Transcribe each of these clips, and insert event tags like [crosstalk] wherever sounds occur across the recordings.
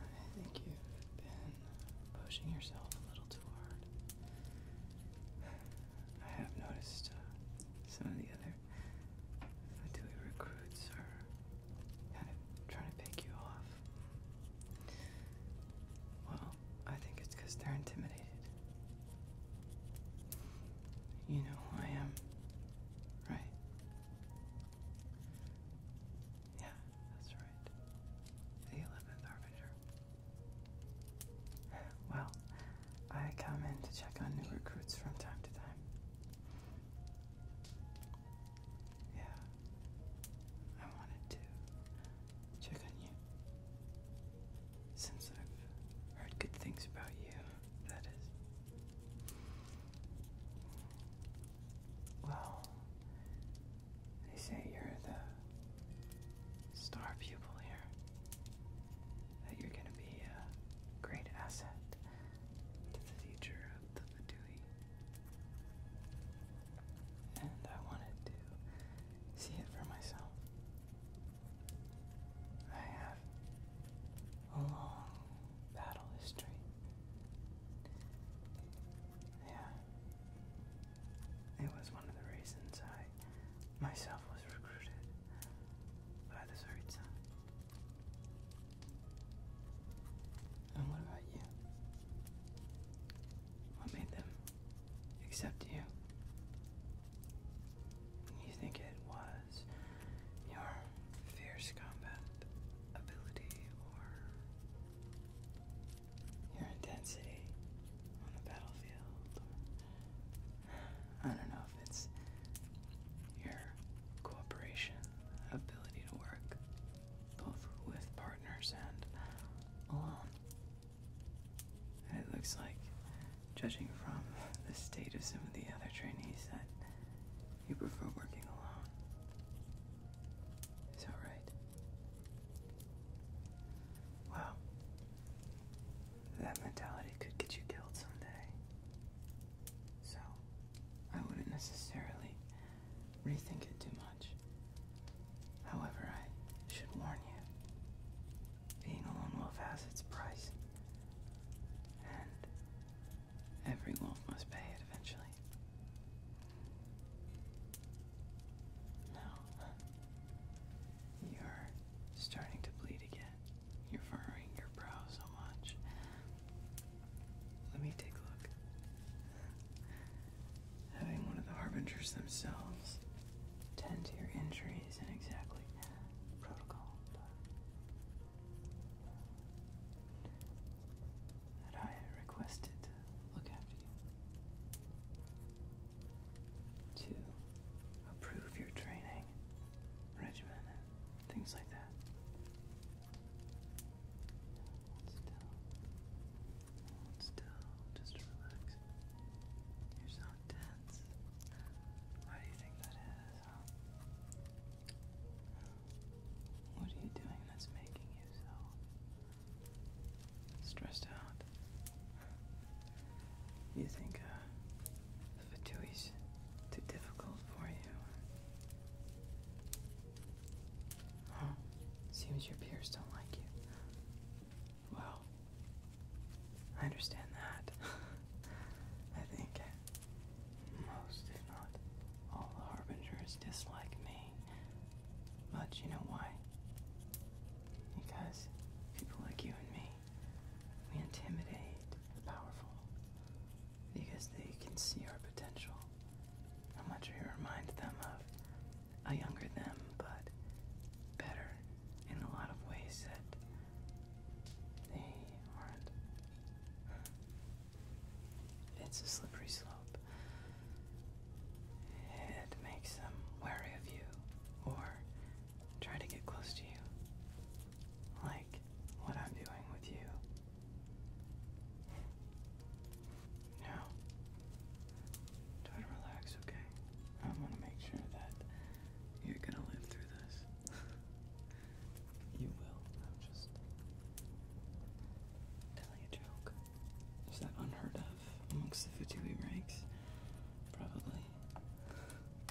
I think you've been pushing yourself a little too hard. I have noticed uh, some of the other Fatui recruits are kind of trying to pick you off. Well, I think it's because they're intimidated. You know who I am, right? Yeah, that's right. The 11th Harbinger. Well, I come in to check on new recruits from time to time. Yeah. I wanted to check on you. Since I've heard good things about you, that is. Well, they say you're the star pupil here. That you're gonna be a great asset to the future the Fatui. And I wanted to see it for myself. I have a long battle history. Yeah. It was one of the reasons I myself was recruited by the Tsaritsa. And what about you? What made them accept you? You think it was your fierce combat ability or your intensity on the battlefield? I don't know it's your cooperation ability to work, both with partners and alone. it looks like, judging from the state of some of the other trainees, that you prefer working alone. Is that right? Wow. That mentality could get you killed someday. So I wouldn't necessarily rethink it too much. However, I should warn you, being a lone wolf has its price, and every wolf must pay it eventually. Now, [laughs] you're starting to bleed again. You're furrowing your brow so much. Let me take a look. Having one of the harbingers themselves tend to your injuries and exactly protocol. That I requested look after you to approve your training regimen things like that. still. still. Just relax. You're so tense. Why do you think that is? What are you doing that's making you so stressed out? You think uh, the it's too too difficult for you. Seems your peers don't like you. Well, I understand that. [laughs] I think most, if not all, the Harbingers dislike me. But you know why? Because people like you and me, we intimidate the powerful because they can see our potential. how much not you remind them of a younger them, but better in a lot of ways that they aren't. Hmm. It's a slippery slope. It makes them wary of you or try to get close to you like what I'm doing with you. Now, try to relax, okay? I want to make sure that you're gonna live through this. you will. I'm just telling a joke. Is that unheard of amongst the Fatui ranks? Probably.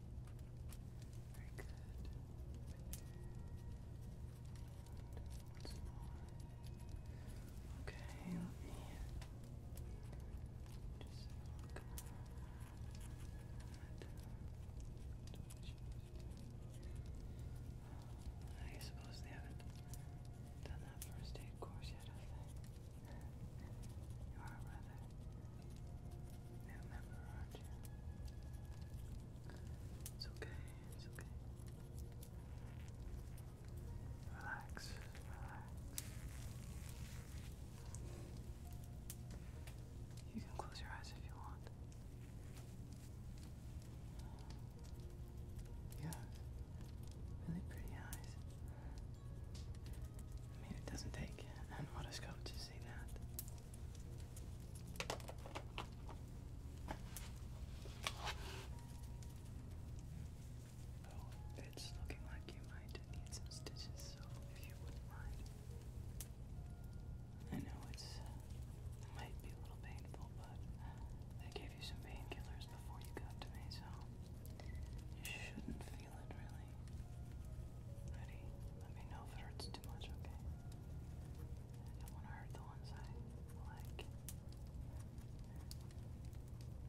Very good. Okay, let me uh, just uh, look uh, I suppose they haven't done that first aid course yet, [laughs] You it's okay, it's okay. Relax, relax. You can close your eyes if you want. You really pretty eyes. I mean, it doesn't take an otoscope see Oh, it's looking like you might need some stitches, so if you wouldn't mind. I know it might be a little painful, but they gave you some painkillers before you got to me, so you shouldn't feel it really gently. Ready? Let me know if it hurts too much, okay? don't want to hurt the ones I like. One more. There,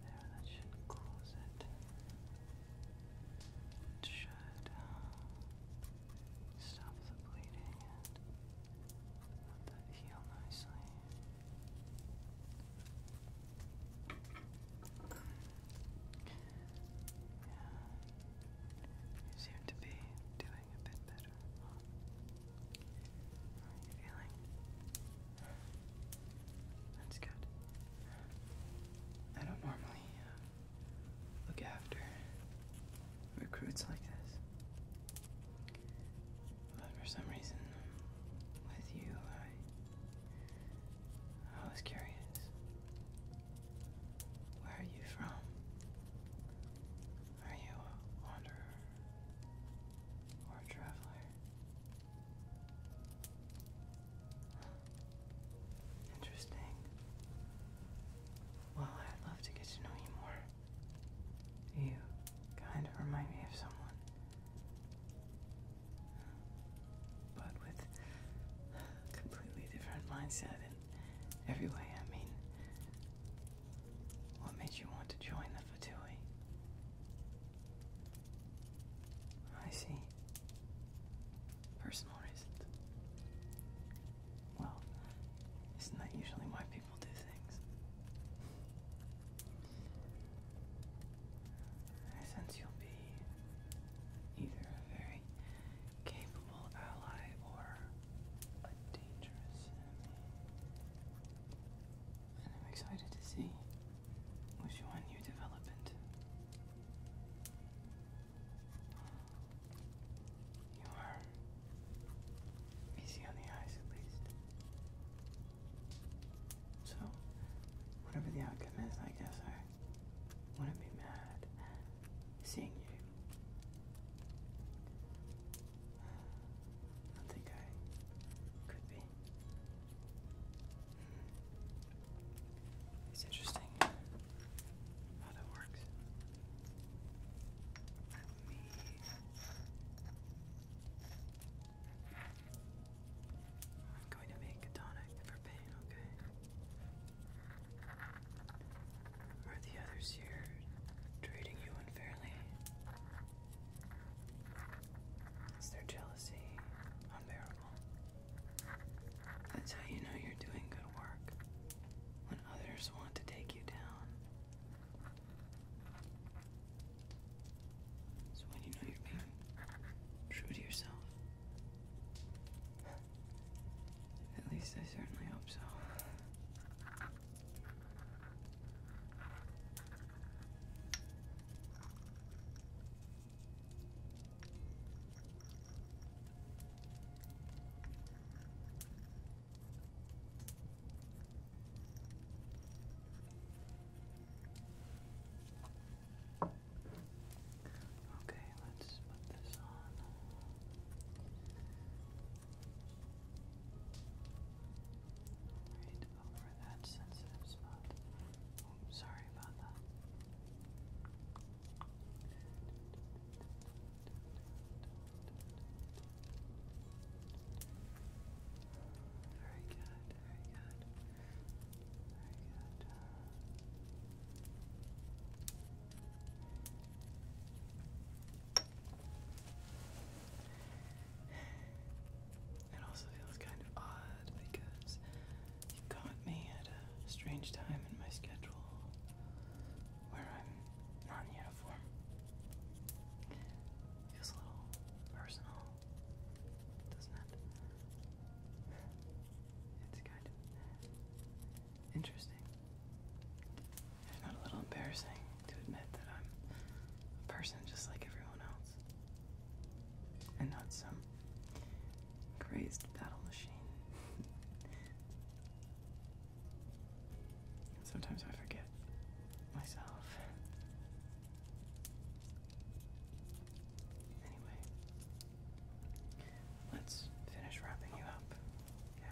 that should close it. should. Uh, stop the bleeding and let that heal nicely. Yeah, you seem to be doing a bit better. How are you feeling? That's good. I don't normally uh, look after recruits like this. But for some reason, with you, I, I was curious. Where are you from? Are you a wanderer or a traveler? Interesting. Well, I'd love to get to know you more. You kind of remind me of someone. But with completely different mindset in every way. I mean, what made you want to join the Fatui? I see personal reasons. Well, isn't that usually why people do things? I sense you'll be either a very capable ally or a dangerous enemy. And I'm excited to see which one you develop you are easy on the eyes, at least. So, whatever the outcome is, I guess I wouldn't be mad seeing you. I think I could be. It's interesting how that works. I'm going to make a tonic for pain, okay? Are the others here treating you unfairly? Is their jealousy unbearable? That's how you know you're doing good work when others want to take you down. So when you know you're being true to yourself. At least I certainly hope so. Okay, let's put this on. Right over that sensitive spot. Sorry about that. Very good, very good, very good. It also feels kind of odd because you caught me at a strange time in my schedule where I'm not in uniform. Feels a little personal, doesn't it? It's kind of interesting. It's not a little embarrassing to admit that I'm a person just like everyone else. And not some crazed battle machine. [laughs] Sometimes I forget myself. Anyway, let's finish wrapping you up. Yeah.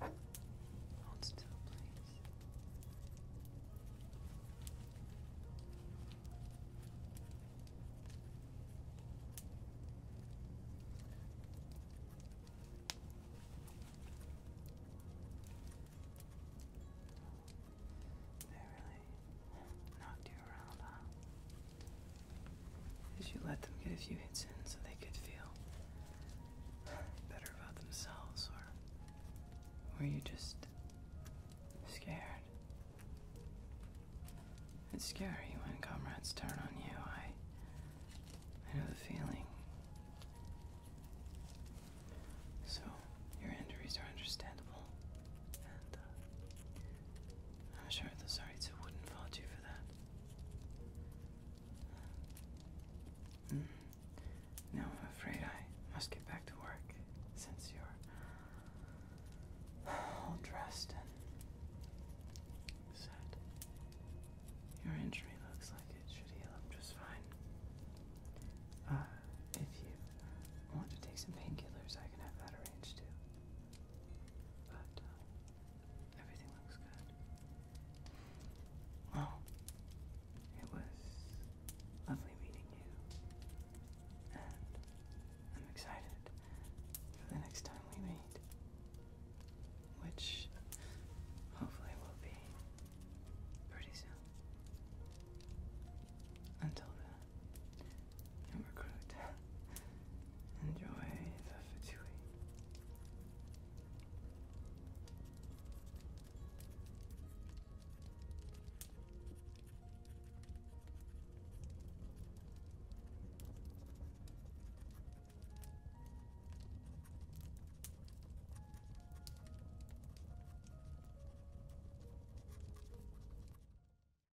Hold still, please. They really knocked you around, huh? As you let them get a few hits in so they could feel better about themselves, or were you just scared? It's scary when comrades turn on you. I I know the feeling. So your injuries are understandable, and uh, I'm sure the Tsarita wouldn't fault you for that. Hmm. I'm afraid I must get back to work since you're all dressed and set. Your injury looks like it should heal up just fine. Uh, if you want to take some painkillers, I can have that arranged too. But uh, everything looks good. Well, it was lovely meeting you, and I'm excited for the next time we meet, which hopefully will be pretty soon. Until then, recruit. Enjoy the fatui.